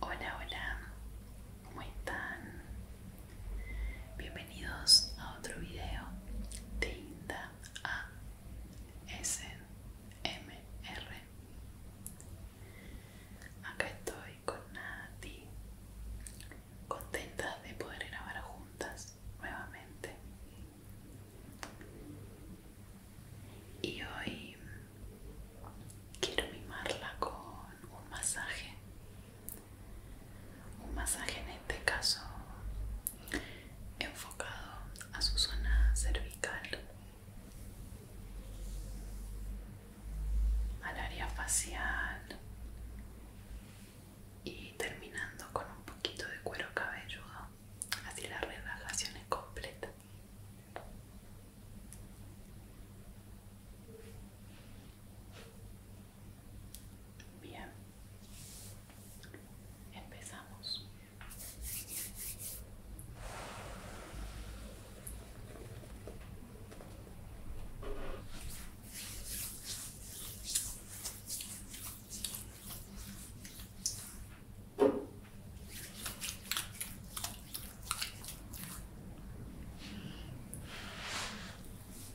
Hola, hola, ¿cómo están? Bienvenidos a otro video de Inda ASMR Acá estoy con Nati, contenta de poder grabar juntas nuevamente. Y hoy quiero mimarla con un masaje un masaje en este caso enfocado a su zona cervical al área facial y terminando con un poquito de cuero cabelludo así la relajación es completa Bien, empezamos.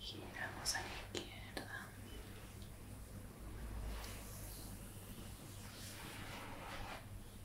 Giramos a la izquierda.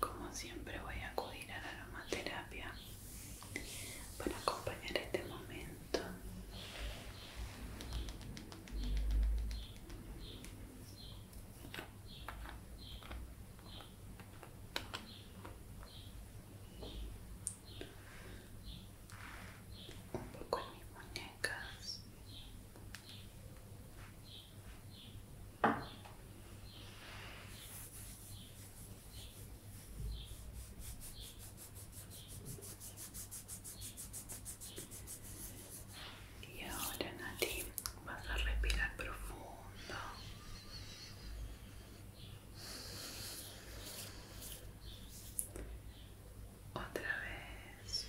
Como siempre voy a acudir a la aromaterapia para acompañar este momento. Un poco mis muñecas. Y ahora Nati vas a respirar profundo. Otra vez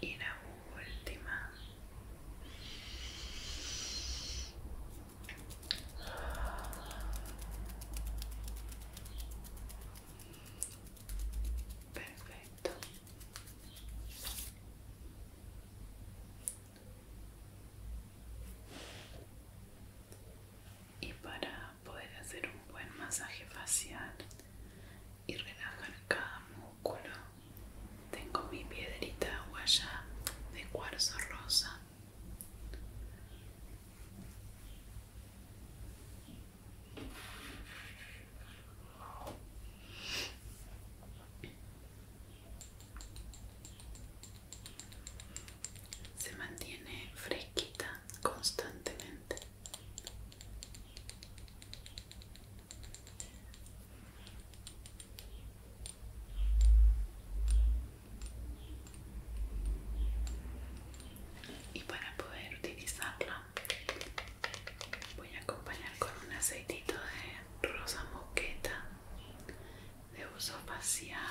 y la última perfecto y para poder hacer un buen masaje facial y relajar cada músculo tengo mi piedrita guayá de cuarzo rosa se mantiene fresquita constantemente. Y para poder utilizarla voy a acompañar con un aceitito de rosa moqueta de uso facial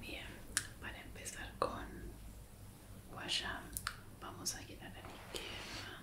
Bien, para empezar con guayam, vamos a llenar a la izquierda.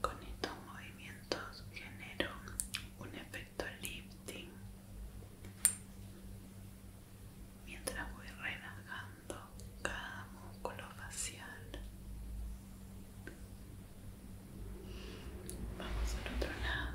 Con estos movimientos genero un efecto lifting mientras voy relajando cada músculo facial. Vamos al otro lado.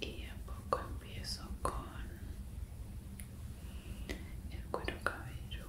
y a poco empiezo con el cuero cabelludo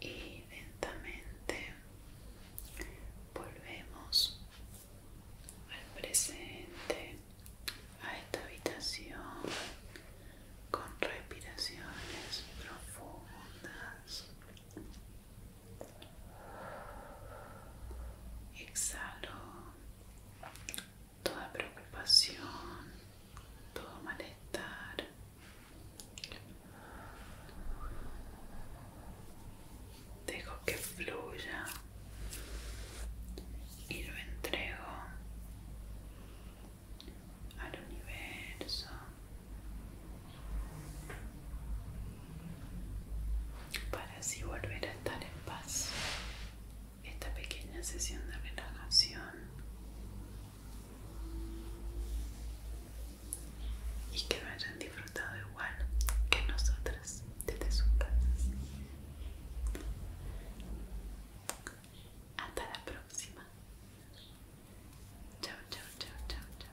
y lentamente volvemos al presente a esta habitación con respiraciones profundas Exhalo toda preocupación, todo malestar. Dejo que fluya y lo entrego al universo para así volver a estar en paz. Esta pequeña sesión de relajación y que lo hayan disfrutado igual que nosotras desde sus casas. Hasta la próxima. Chao, chao, chao, chao,